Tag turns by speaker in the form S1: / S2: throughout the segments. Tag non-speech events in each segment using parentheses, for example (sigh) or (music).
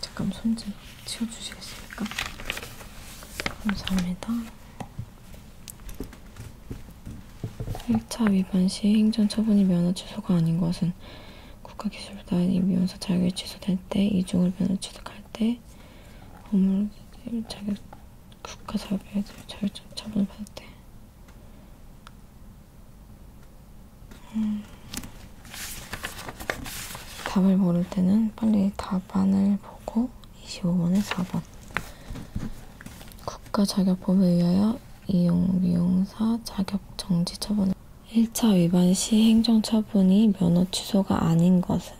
S1: 잠깐 손 좀 치워주시겠습니까? 감사합니다. 1차 위반 시 행정 처분이 면허 취소가 아닌 것은 국가기술단이 미용사 자격이 취소될 때, 이중을 면허 취득할 때, 업무 자격 국가사업에 자격증 처분을 받을 때, 음, 답을 모를 때는 빨리 답안을 보고 25번에 4번 국가자격법에 의하여 이용미용사 자격정지 처분을 1차 위반 시 행정처분이 면허 취소가 아닌 것은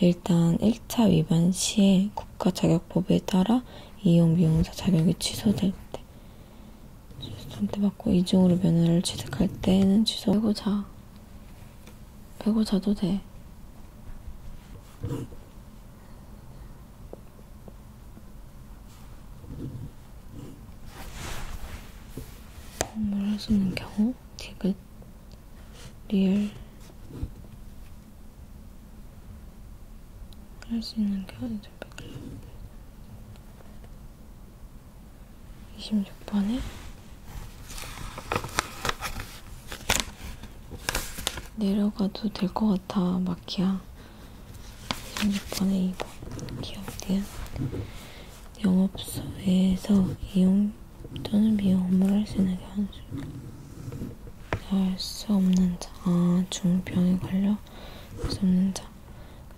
S1: 일단 1차 위반 시에 국가자격법에 따라 이용미용사 자격이 취소될 때 전대받고 이중으로 면허를 취득할 때는 취소 빼고 자 빼고 자도 돼 말할 수 있는 경우 디귿 리얼 할수 있는 게 이들밖에 없는데 26번에 내려가도 될 것 같아 마키야 26번에 2번 기업대한 영업소에서 이용 또는 미용 업무를 할 수 있는 게 한수 나을 수 없는 자, 아, 중병에 걸려 나을 수 없는 자.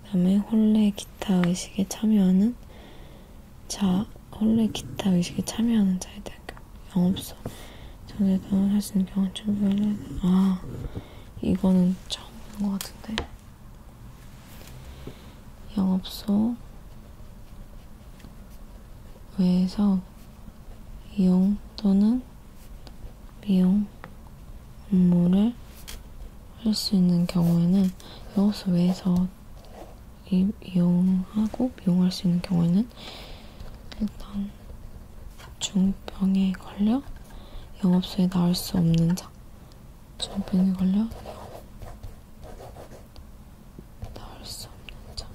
S1: 그 다음에 홀레 기타 의식에 참여하는 자, 홀레 기타 의식에 참여하는 자에 대한 영업소. 전에도 할수 있는 경험 충분히 아, 이거는 처음 본것 같은데. 영업소. 외에서 이용 또는 미용 업무를 할 수 있는 경우에는 여호수 외에서 이, 이용하고 미용할 수 있는 경우에는 일단 중병에 걸려 영업소에 나올 수 없는 자 중병에 걸려 나올 수 없는 자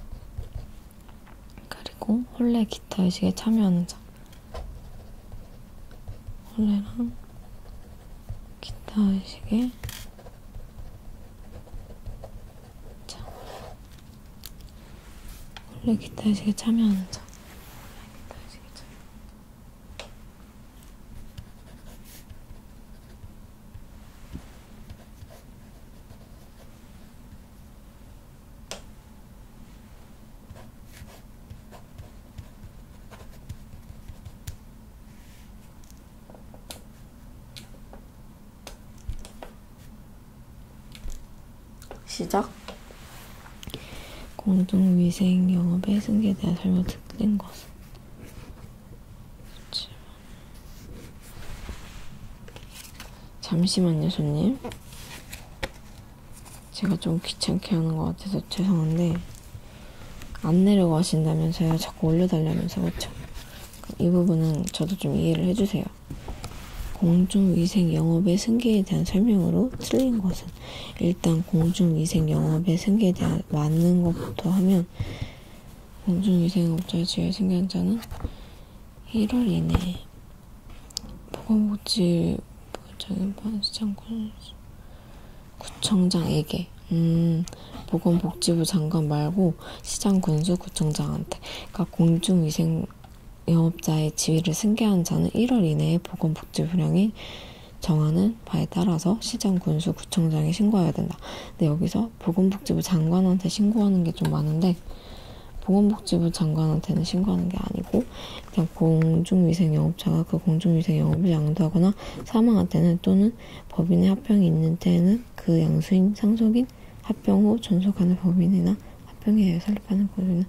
S1: 그리고 홀레 기타 의식에 참여하는 자. 홀레랑 기타 의식에 자. 홀레 기타 의식에 참여하는 자. 시작. 공중위생 영업의 승계에 대한 설명 듣는 것은 잠시만요, 손님. 제가 좀 귀찮게 하는 것 같아서 죄송한데, 안 내려가신다면서요? 자꾸 올려달라면서, 그쵸? 이 부분은 저도 좀 이해를 해주세요. 공중위생 영업의 승계에 대한 설명으로 틀린 것은 일단 공중위생 영업의 승계에 대한 맞는 것부터 하면 공중위생업자의 지에 승계한 자는 1월 이내 보건복지 부장인 반시장 구청장에게 음 보건복지부 장관 말고 시장 군수 구청장한테 그러니까 공중위생 영업자의 지위를 승계한 자는 1월 이내에 보건복지 부량이 정하는 바에 따라서 시장 군수 구청장에 신고해야 된다. 근데 여기서 보건복지부 장관한테 신고하는 게 좀 많은데 보건복지부 장관한테는 신고하는 게 아니고 그냥 공중위생 영업자가 그 공중위생 영업을 양도하거나 사망한 때는 또는 법인의 합병이 있는 때에는 그 양수인 상속인 합병 후 존속하는 법인이나 합병에 의해 설립하는 법인은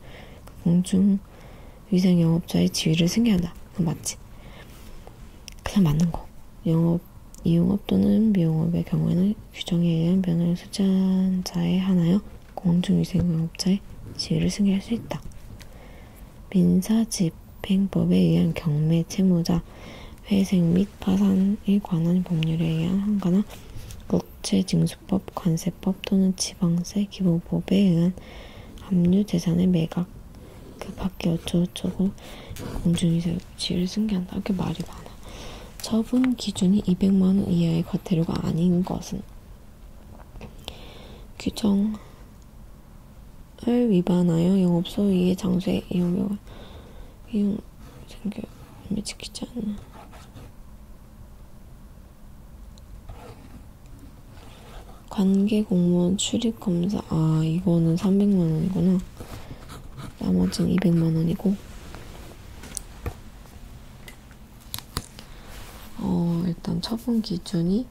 S1: 그 공중위생 영업자의 지위를 승계한다. 맞지? 그냥 맞는 거. 영업, 이용업 또는 미용업의 경우에는 규정에 의한 면허 수잔자에 한하여 공중위생업자의 지위를 승계할 수 있다. 민사집행법에 의한 경매 채무자, 회생 및 파산에 관한 법률에 의한 한가나 국채징수법, 관세법 또는 지방세 기본법에 의한 압류 재산의 매각 그 밖에 어쩌고저쩌고 공중위생지를 승계한다. 이렇게 말이 많아. 처분 기준이 200만원 이하의 과태료가 아닌 것은 규정을 위반하여 영업소위의 장소에 이용료가 이용 생겨을 지키지 않는 관계 공무원 출입 검사 아 이거는 300만 원이구나. 나머지는 200만원이고 어, 일단 처분 기준이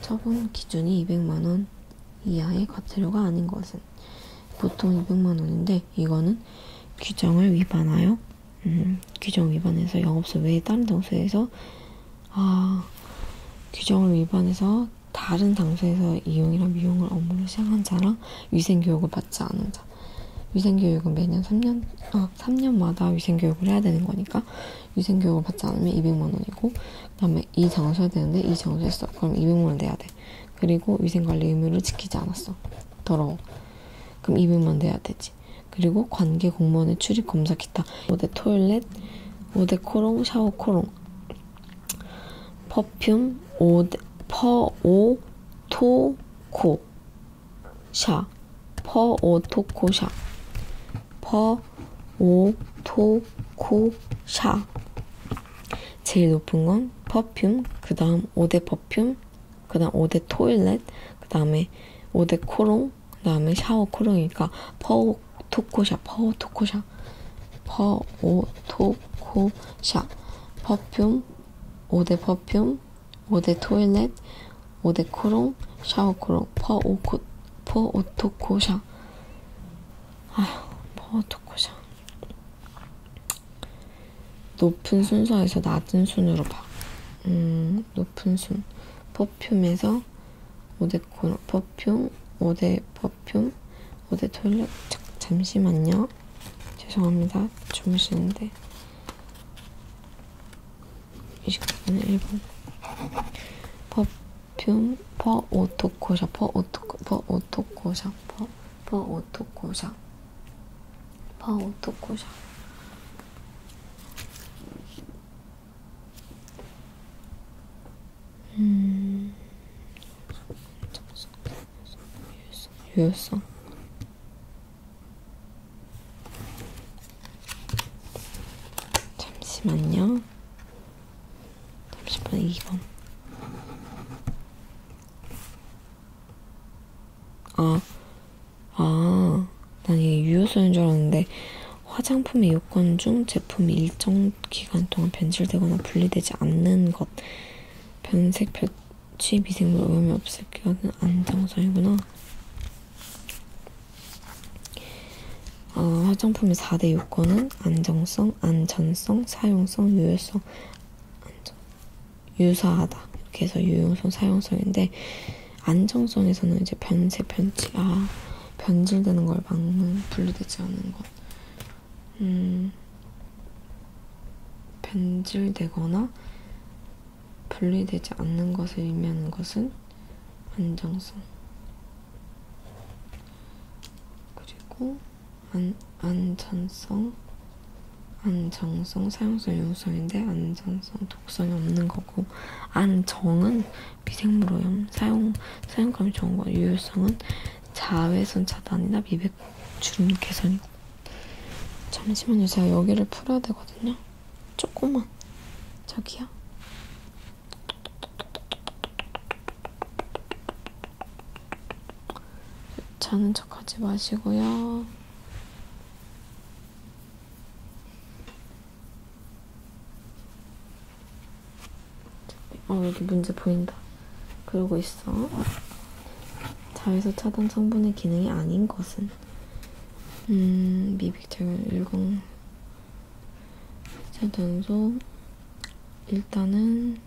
S1: 처분 기준이 200만원 이하의 과태료가 아닌 것은 보통 200만원인데 이거는 규정을 위반하여 음, 규정 위반해서 영업소 외에 다른 장소에서 아 규정을 위반해서 다른 장소에서 이용이나 미용을 업무로 시작한 자랑, 위생교육을 받지 않은 자. 위생교육은 매년 3년, 아, 어, 3년마다 위생교육을 해야 되는 거니까, 위생교육을 받지 않으면 200만원이고, 그 다음에 이 장소에 되는데, 이 장소에 써. 그럼 200만원 내야 돼. 그리고 위생관리 의무를 지키지 않았어. 더러워. 그럼 200만원 내야 되지. 그리고 관계 공무원의 출입 검사 기타, 5대 토일렛, 5대 코롱, 샤워 코롱. 퍼퓸 오, 퍼오토코샤 퍼오토코샤 퍼오토코샤 제일 높은 건 퍼퓸 그 다음 5대 퍼퓸 그 다음 5대 토일렛 그 다음에 5대 코롱 그 다음에 샤워 코롱이니까 퍼오토코샤 퍼오토코샤 퍼오토코샤 퍼퓸 5대 퍼퓸 5대 토일렛 5대 코롱 샤워코롱 퍼오코 퍼오토코샤 아휴 퍼오토코샤 높은 순서에서 낮은 순으로 봐. 음, 높은 순. 퍼퓸에서 5대 코롱, 퍼퓸, 5대 퍼 거품 어제 토일렛 잠시만요. 죄송합니다. 주무시는데 29분에 1분 퍼퓸 퍼 오토코샤 퍼 오토코 퍼 오토코샤 퍼, 퍼 오토코샤 퍼 오토코샤 음, 유효성. 잠시만요. 잠시만 2번. 아, 아, 난 이게 유효성인 줄 알았는데 화장품의 요건 중 제품이 일정 오랜 기간 동안 변질되거나 분리되지 않는 것 변색 볕이 미생물 오염이 없을 경우는 안정성이구나 어, 화장품의 4대 요건은 안정성, 안전성, 사용성, 유효성, 안정, 유사하다 이렇게 해서 유용성, 사용성인데 안정성에서는 이제 변색, 변치, 아 변질되는 걸 막는 분리되지 않는 것 음, 변질되거나 분리되지 않는 것을 의미하는 것은 안정성. 그리고 안, 안전성, 안정성, 사용성, 유용성인데 안전성, 독성이 없는 거고 안정은 미생물오염, 사용, 사용감이 좋은 거, 유효성은 자외선 차단이나 미백 주름 개선이고 잠시만요 제가 여기를 풀어야 되거든요 조금만 저기요 자는 척 하지 마시고요 어, 여기 문제 보인다. 그러고 있어. 자외선 차단 성분의 기능이 아닌 것은? 음, 미백제는 일공 차단소 일단은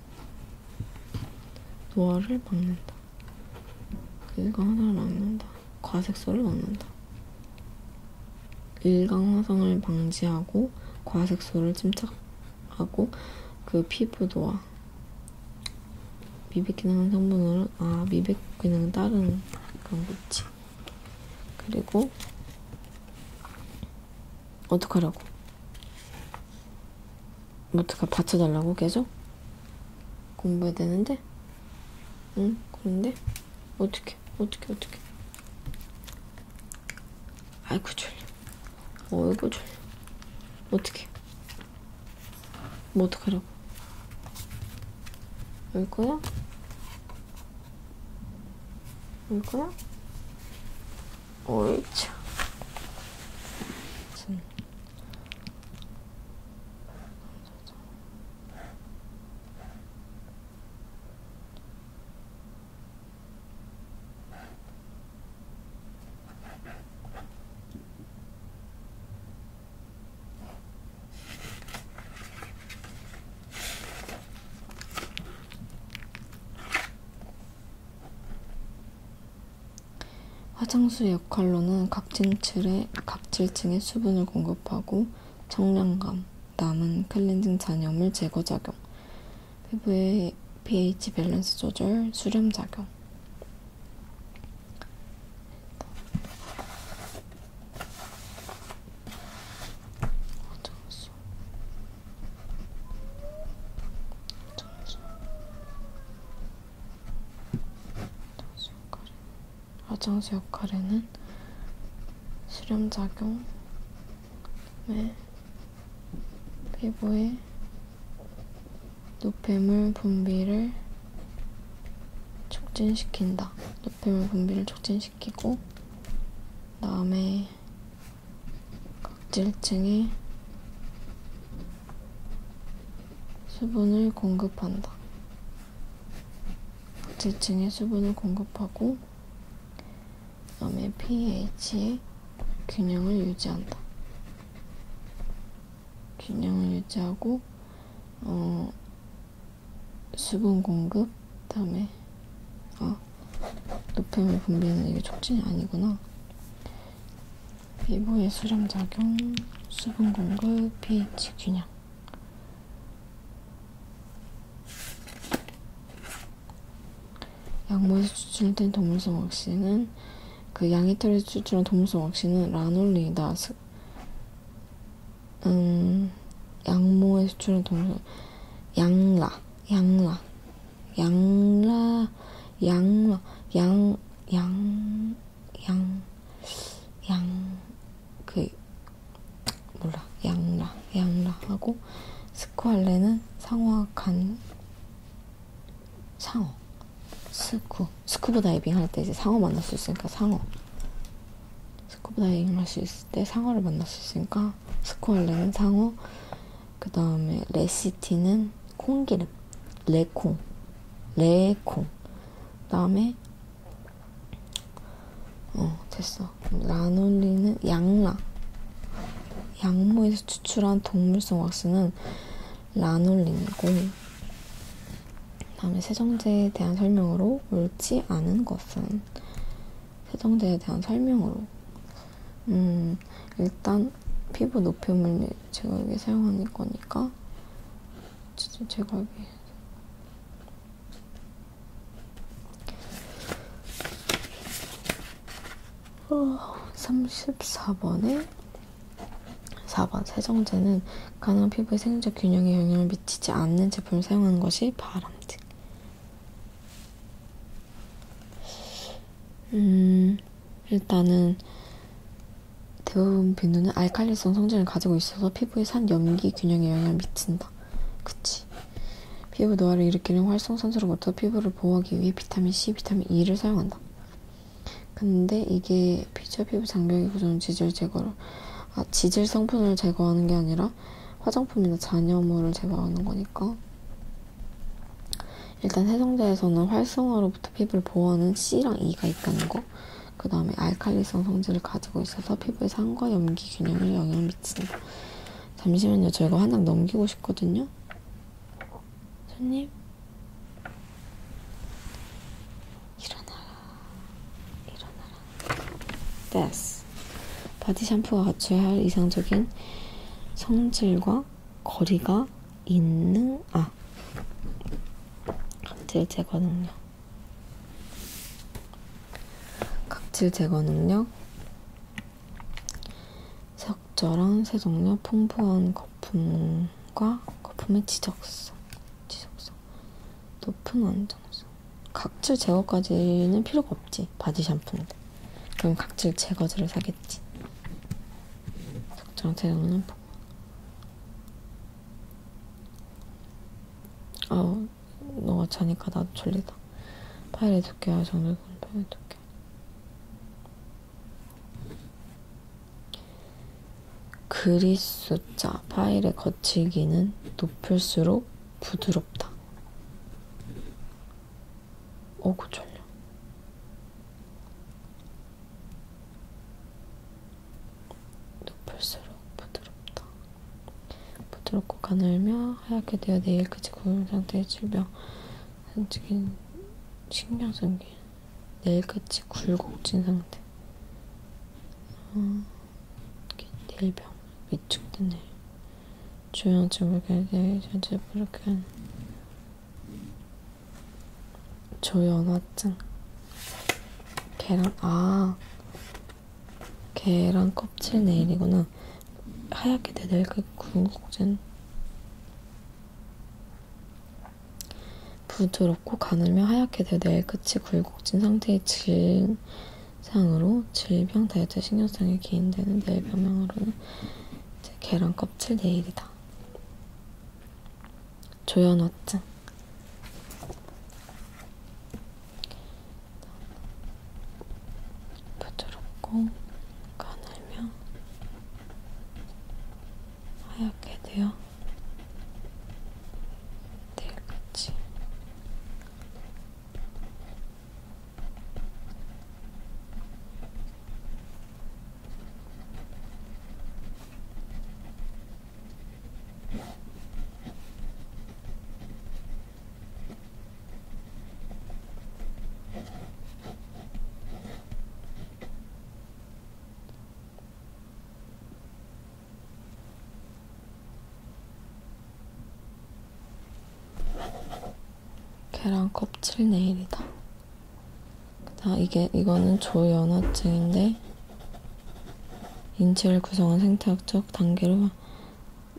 S1: 노화를 막는다. 이거 하나를 막는다. 과색소를 막는다. 일광 화성을 방지하고 과색소를 침착하고 그 피부 노화 미백 기능은 성분으로 아 미백 기능 다른 그런 거지 그리고 어떡하라고 어떡하 받쳐달라고 계속 공부해야 되는데 응 그런데 어떻게 어떻게 어떻게 아이고 졸려 어이구 졸려 어떻게 뭐 어떡하라고 올 거야? 올 거야? 옳죠 화장수 역할로는 각질층에, 각질층에 수분을 공급하고 청량감, 남은 클렌징 잔여물 제거 작용, 피부의 pH 밸런스 조절, 수렴 작용. 화장수 역할에는 수렴작용, 왜? 피부에 노폐물 분비를 촉진시킨다. 노폐물 분비를 촉진시키고 다음에 각질층에 수분을 공급한다. 각질층에 수분을 공급하고 염의 pH의 균형을 유지한다. 균형을 유지하고 어, 수분 공급 그다음에 어, 노폐물 분비는 이게 촉진이 아니구나. 피부의 수렴 작용, 수분 공급, pH 균형. 양모에서 추출된 동물성 억씨는 그 양이털에서 추출한 동물성 억씨는 라놀리다 스, 음, 양모에서 추출한 동물성 양라 양라 양라 양라 양양양양그 몰라 양라 양라 하고 스쿠알레는 상어와 간 상어 스쿠 스쿠버 다이빙 할 때 이제 상어 만날 수 있으니까 상어 스쿠버 다이빙 할 수 있을 때 상어를 만날 수 있으니까 스쿠알레는 상어 그 다음에 레시티는 콩기름 레콩 레콩 그 다음에 어 됐어. 라놀리는 양라. 양모에서 추출한 동물성 왁스는 라놀린이고 다음에 세정제에 대한 설명으로 옳지 않은 것은 세정제에 대한 설명으로 음 일단 피부 노폐물 제거하기 사용하는 거니까 제거하기 어, 34번에 4번 세정제는 가난 피부의 생리적 균형에 영향을 미치지 않는 제품을 사용하는 것이 바람직. 음, 일단은 대부분 비누는 알칼리성 성질을 가지고 있어서 피부의 산 염기 균형에 영향을 미친다. 한다. 그치. 피부 노화를 일으키는 활성산소로부터 피부를 보호하기 위해 비타민C, 비타민E를 사용한다. 근데 이게 피자 피부 장벽이 구조는 지질 제거를, 아, 지질 성분을 제거하는 게 아니라 화장품이나 잔여물을 제거하는 거니까. 일단 해성제에서는 활성화로부터 피부를 보호하는 C랑 E가 있다는 거. 그 다음에 알칼리성 성질을 가지고 있어서 피부의 산과 염기 균형에 영향을 미친다. 잠시만요. 저희가 한장 넘기고 싶거든요. 손님. 일어나라. 일어나라. 됐스 바디 샴푸와 갖춰야 할 이상적인 성질과 거리가 있는 아 각질 제거 능력 각질 제거 능력, 적절한 세정력, 풍부한 거품과 거품의 지적성, 지적성, 높은 안정성. 각질 제거까지는 필요가 없지. 바디 샴푸인데. 그럼 각질 제거제를 사겠지. 적절한 세정력, 풍부. 어, 너가 자니까 나도 졸리다. 파일 해둘게요. 정글 파일 해둘게. 그리 숫자 파일의 거칠기는 높을수록 부드럽다. 어구 그 졸려. 높을수록. 부드럽다. 부드럽고 가늘며 하얗게 되어 내일까지 고운 상태의 질병. 솔직히 신경 쓴게 내일같이 굴곡진 상태. 어, 내일병 위축된 내 조용하지 모르게 내 전체 부족한 조연화증 계란 아 계란 껍질 네일이구나. 하얗게 되들 그 군국진. 부드럽고 가늘며 하얗게 되어 내일 끝이 굴곡진 상태의 질상으로 질병 다이어트 신경성에 기인되는 내일 병명으로는 계란 껍질 내일이다. 조현화증 부드럽고 가늘며 하얗게 되어 내일같이 계란 껍질 네일이다. 아, 이게, 이거는 조연화증인데, 인체를 구성한 생태학적 단계로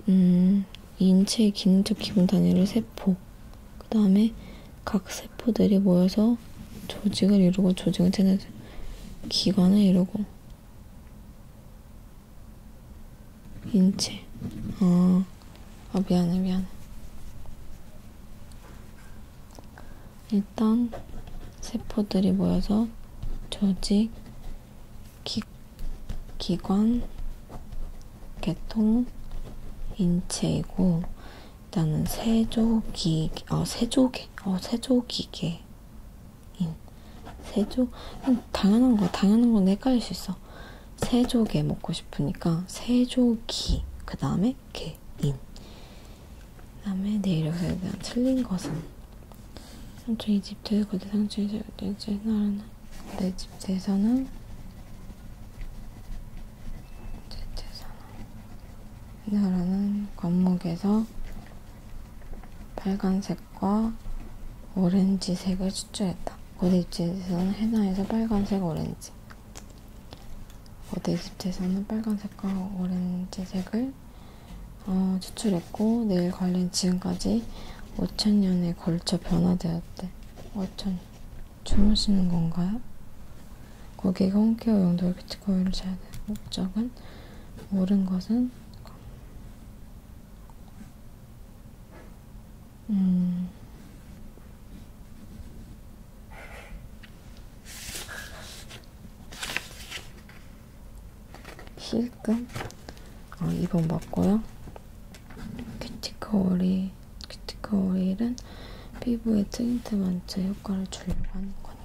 S1: 음, 인체의 기능적 기본 단위를 세포, 그 다음에 각 세포들이 모여서 조직을 이루고 조직은 체내 기관을 이루고 인체. 아, 아 미안해 미안해. 일단 세포들이 모여서 조직, 기, 기관, 계통, 인체이고 일단은 세조기, 어, 세조기, 어, 세조기계. 세조 음, 당연한 거 당연한 건 헷갈릴 수 있어 세조개 먹고 싶으니까 세조기 그 다음에 개인 그 다음에 내일 여기서 일단 틀린 것은 삼촌 이집트에서 거대 상층이 세웠대지 나라는 이집트에서는 이집트에서는 이 나라는 관목에서 빨간색과 오렌지색을 추출했다. 고대 이집트에서는 해나에서 빨간색, 오렌지 고대 이집트에서는 빨간색과 오렌지색을 어, 추출했고 내일 관련 지금까지 5천년에 걸쳐 변화되었대. 5천년. 주무시는 건가요? 거기에 홈케어 용도의 비트코인을 사야 돼. 목적은 모른 것은 음. 실금 아, 2번 맞고요. 큐티클 오일, 큐티클 오일은 피부에 트인트 만체 효과를 주려고 하는 거니까.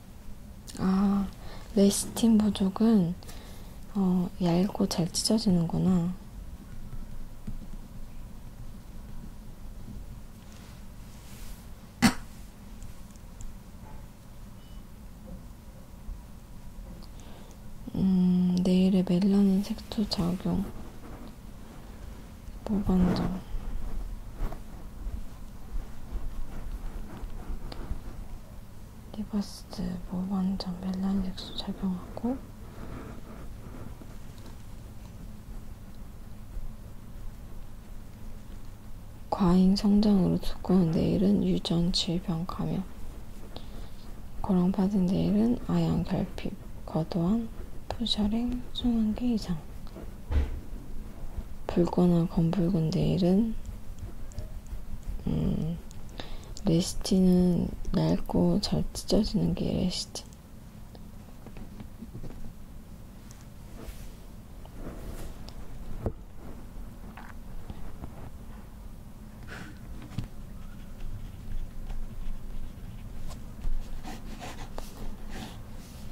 S1: 아, 레시틴 보족은 어, 얇고 잘 찢어지는구나. 음, 내일의 멜라닌 색소 작용. 무반장 리버스 무반장 멜란색소 작용하고 과잉 성장으로 두꺼운 내일은 유전 질병 감염 고랑 빠진 내일은 아양 결핍, 과도한 푸셔링, 수환기 이상 붉거나 검붉은 네일은 음, 레시틴은 얇고 잘 찢어지는 게 레시틴.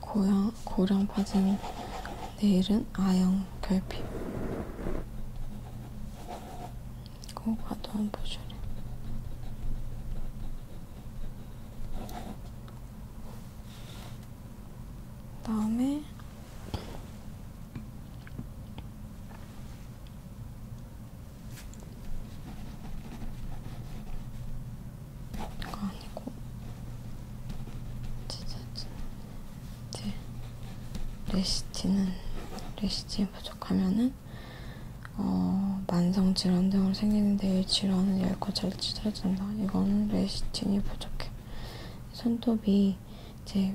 S1: 고양, 고랑 빠진 내일은 아영 결핍 고과도한 보조래 다음에 그거 아니고 진짜 이제 레시틴은 레시틴이 부족하면은 어, 만성 질환 등으로 생기는데 이 질환을 열고 잘 치료해준다. 이거는 레시틴이 부족해. 손톱이 이제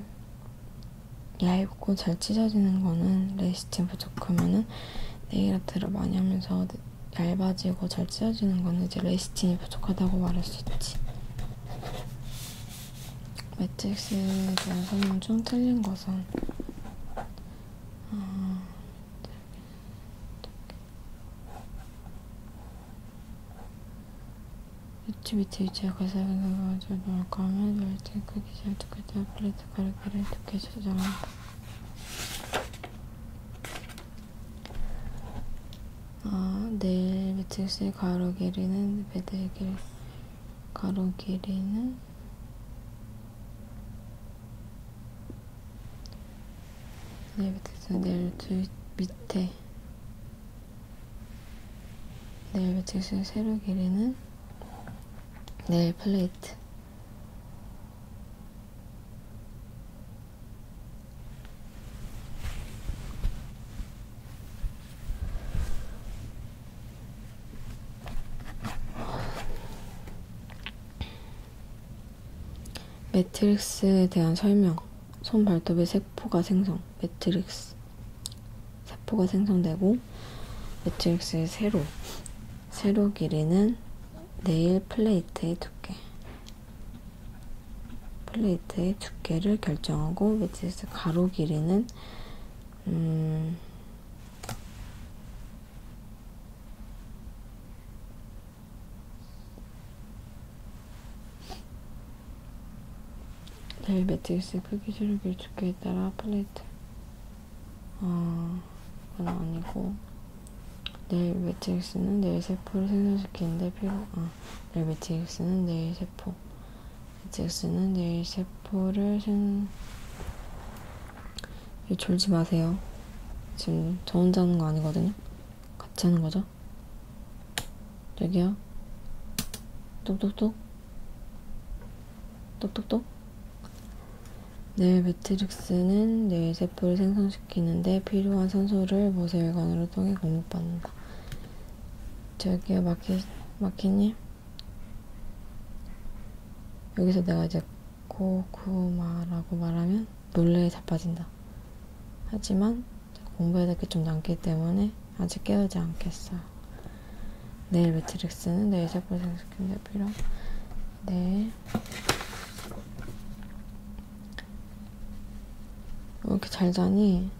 S1: 얇고 잘 찢어지는 거는 레시틴 부족하면은 네일 아트를 많이 하면서 네, 얇아지고 잘 찢어지는 건 이제 레이스틴이 부족하다고 말할 수 있지. 매트릭스에 대한 설명 중 틀린 것은 어, 아, 유치 밑에 위치에 가사가 나가지고 넣을까 하면 열등 크기 잘 두께 때 플레이트 가르기를 두께 저장한다. 아, 내일 매트릭스의 가로 길이는 배드의 길 가로 길이는 내일 매트릭스 내일 두 밑에 내일 매트릭스의 세로 길이는 내일 플레이트 매트릭스에 대한 설명. 손 발톱의 세포가 생성. 매트릭스. 세포가 생성되고, 매트릭스의 세로. 세로 길이는 네일 플레이트의 두께 플레이트의 두께를 결정하고 매트리스 가로 길이는 음, 매일 매트리스 크기, 세로 길 두께에 따라 플레이트 아, 그건 아니고 내일 매트릭스는 내일 세포를 생성시키는데 필요 아, 내일 매트릭스는 내일 세포 매트릭스는 내일 세포를 생 졸지 마세요 지금 저 혼자 하는 거 아니거든요 같이 하는 거죠 저기요 똑똑똑 똑똑똑 넬 매트릭스는 뇌의 세포를 생성시키는데 필요한 산소를 모세혈관을 통해 공급받는다. 저기요, 마키, 마키님? 여기서 내가 이제 코쿠마라고 말하면 놀래에 자빠진다. 하지만 공부해야 될 게 좀 남기 때문에 아직 깨우지 않겠어요. 내일 네, 매트릭스는 내일 잡고 생각시키는 데 필요 내일 네. 왜 이렇게 잘 자니?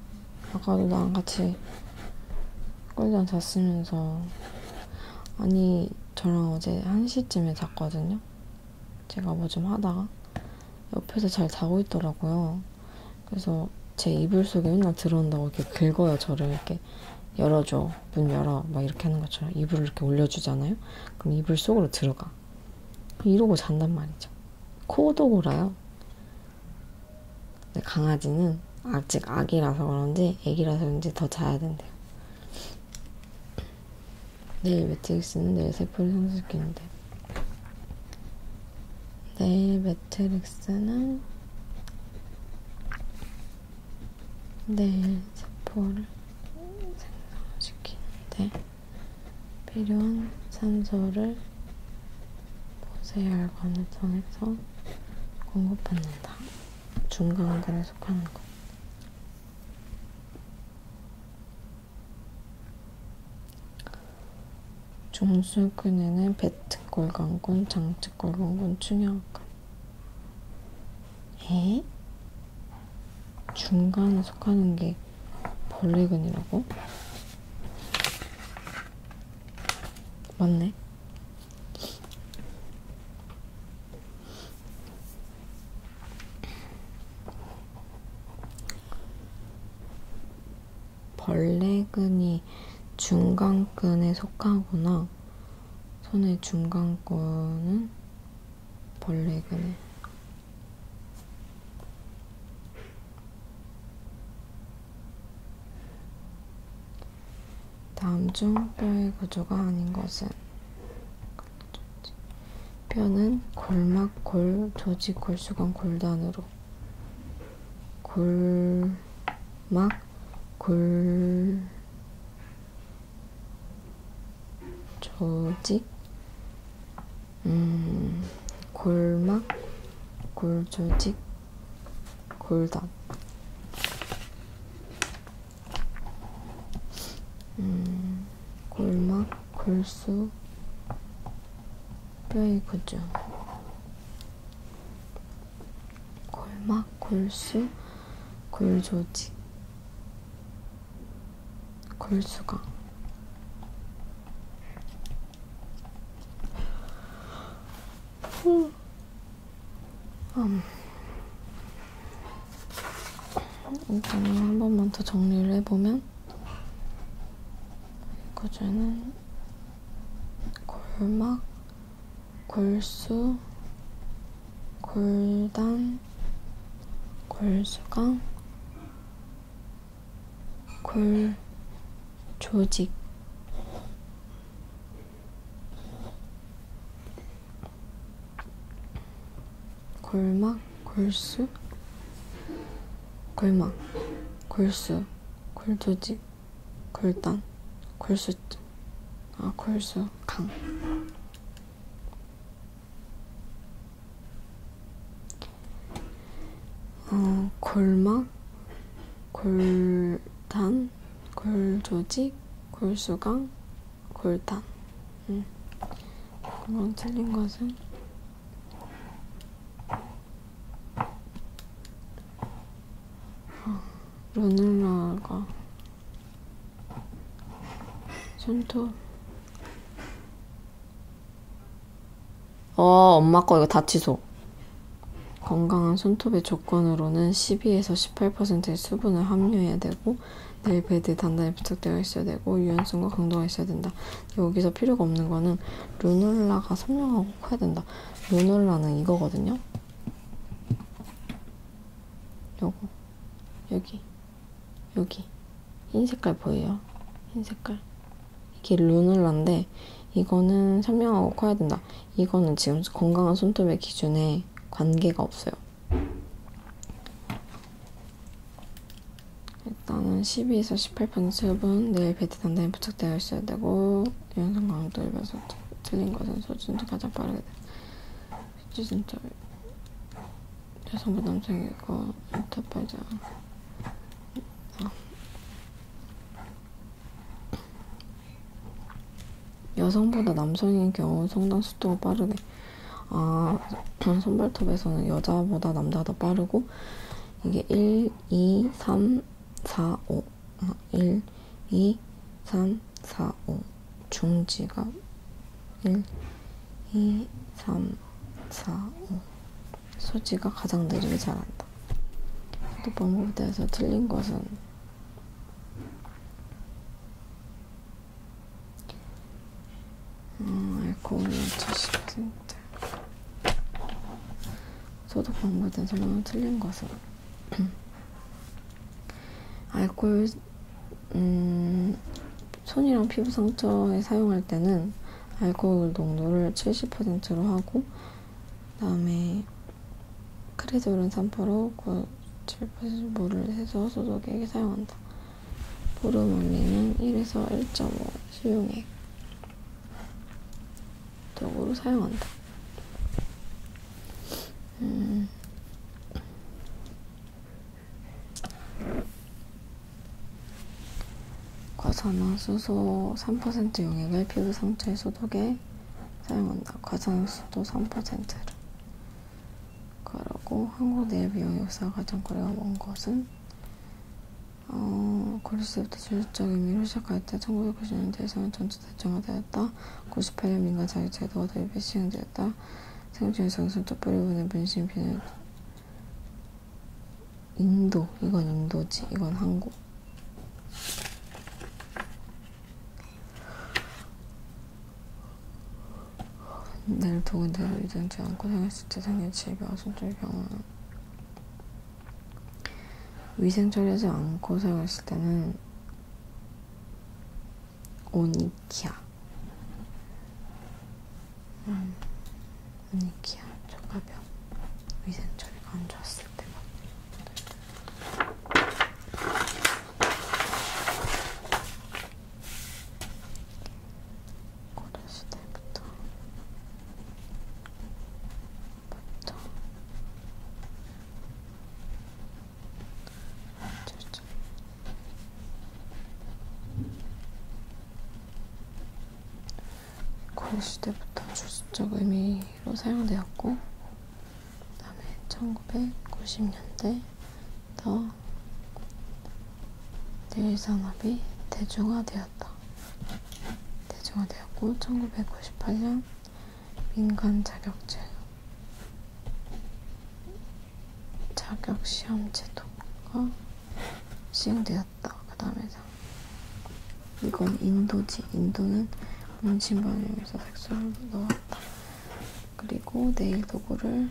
S1: 아까도 나랑 같이 꿀잠 잤으면서 아니 저랑 어제 1시쯤에 잤거든요 제가 뭐 좀 하다가 옆에서 잘 자고 있더라고요 그래서 제 이불 속에 맨날 들어온다고 이렇게 긁어요 저를 이렇게 이렇게 열어줘, 문 열어, 막 이렇게 하는 것처럼 이불을 이렇게 올려주잖아요. 그럼 이불 속으로 들어가. 이러고 잔단 말이죠. 코도 골아요. 강아지는 아직 아기라서 그런지 아기라서 그런지 더 자야 된대요. 내일 매트릭스는 내일 세포를 상승시키는데 내일 매트릭스는 뇌일 네, 세포를 생성시키는데 필요한 산소를 보세혈관을 통해서 공급받는다. 중간근에 속하는 것. 중수근에는 배트골관군, 장측골관군, 충혈관 에? 중간에 속하는 게 벌레근이라고? 맞네. 벌레근이 중간근에 속하거나 손의 중간 거는 벌레 그네. 다음 중 뼈의 구조가 아닌 것은 뼈는 골막, 골, 조직, 골수건, 골단으로 골막, 골 조직, 음, 골막, 골조직, 골단. 음, 골막, 골수, 뼈의 구조. 골막, 골수, 골조직, 골수가 음. 음. 일단 음, 한 번만 더 정리를 해보면 이거저는 골막, 골수, 골단, 골수강, 골조직, 골막, 골수, 골막, 골수, 골조직. 골단, 골수, 아 골수 강. 어, 골막, 골단, 골조직, 골수강, 골단. 응. 음. 그럼 틀린 것은 마누라가 손톱 어 엄마 거 이거 다 취소 건강한 손톱의 조건으로는 12에서 18%의 수분을 함유해야 되고 내일 베드에 단단히 부착되어 있어야 되고 유연성과 강도가 있어야 된다. 여기서 필요가 없는 거는 루놀라가 선명하고 커야 된다. 루놀라는 이거거든요. 요거 여기 여기 흰 색깔 보여요? 흰 색깔 이게 루눌라인데 이거는 선명하고 커야 된다 이거는 지금 건강한 손톱의 기준에 관계가 없어요 일단은 12에서 18분 수업은 내일 베트 단단히 부착되어 있어야 되고 연상 강도 입에서 틀린 것은 소진도 가장 빠르게 진짜 여성부 남성이고 인터파자 여성보다 남성인 경우 성장 속도가 빠르게 아 선발톱에서는 여자보다 남자가 더 빠르고 이게 1, 2, 3, 4, 5 5, 1, 2, 3, 4, 5 중지갑 1, 2, 3, 4, 5 소지가 가장 느리게 자란다. 또 방법대에서 틀린 것은 음, 알코올이 70% 소독 방법에 대한 설명을 틀린 것은 (clears throat) 알코올 음, 손이랑 피부 상처에 사용할 때는 알코올 농도를 70%로 하고 그다음에 크레졸은 3% 7% 물을 해서 소독액에 사용한다. 보름 원리는 1에서 1.5 시용액 도구로 사용한다. 음. 과산화수소 3% 용액을 피부 상처의 소독에 사용한다. 과산화수도 3%를. 그러고 한국 내 미용 역사 가장 거래가 먼 것은 어, 고려시대부터 전체적인 의미로 시작할 때 1990년대에서는 전체 대중화되어 했다. 98년 민간 자유제도가 도입해 시행되었다. 생존의 정선 촛불이분의 문신 비는 인도. 이건 인도지. 이건 한국. 내를 도운 대를 이전지 않고 생겼을 때 생긴 질병, 손질 병원, 위생 처리하지 않고 사용했을 때는 오니키아 음, 오니키아 조가병 위생 처리가 안 좋았을 때가 고려시대부터 맞죠? 맞죠? 고려시대부터 주술적 의미로 사용되었고 그 다음에 1990년대 더 내일산업이 대중화되었다. 대중화되었고 1998년 민간 자격제 자격 시험 제도가 시행되었다. 그 다음에다 이건 인도지. 인도는 문신반응에서 색소를 넣었다. 그리고 네일 도구를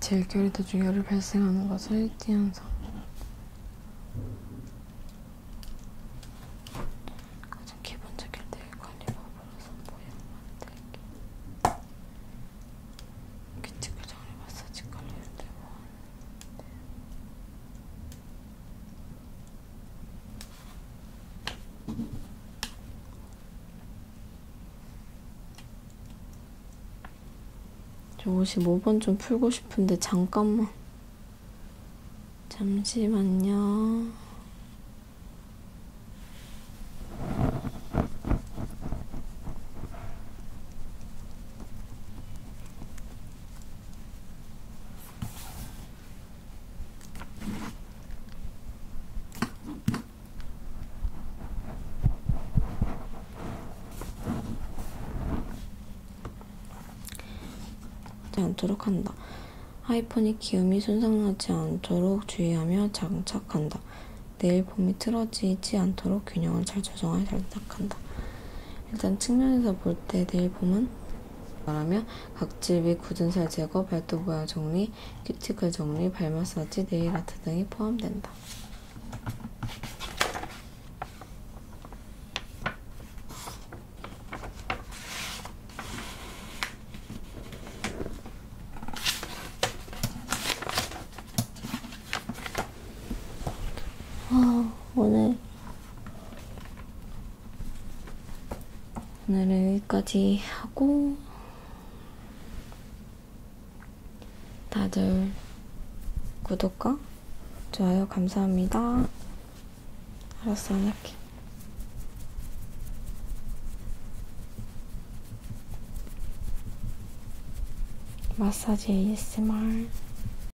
S1: 질결이 도중 열이 발생하는 것을 띠현상 가장 기본적인 대의 관리 방법으로서 모양만 대기 규칙을 정리 마사지 관리를 대보았는데 저 55번 좀 풀고 싶은데 잠깐만 잠시만요 하지 않도록 한다. 아이폰이 기음이 손상하지 않도록 주의하며 장착한다. 내일 봄이 틀어지지 않도록 균형을 잘 조정하여 장착한다. 일단 측면에서 볼때 내일 봄은 말하면 각질 및 굳은 살 제거, 발톱 모양 정리, 큐티클 정리, 발 마사지, 네일 아트 등이 포함된다. 아, 오늘 오늘은 여기까지 하고 다들 구독과 좋아요 감사합니다. 알았어, 안 할게. 마사지 ASMR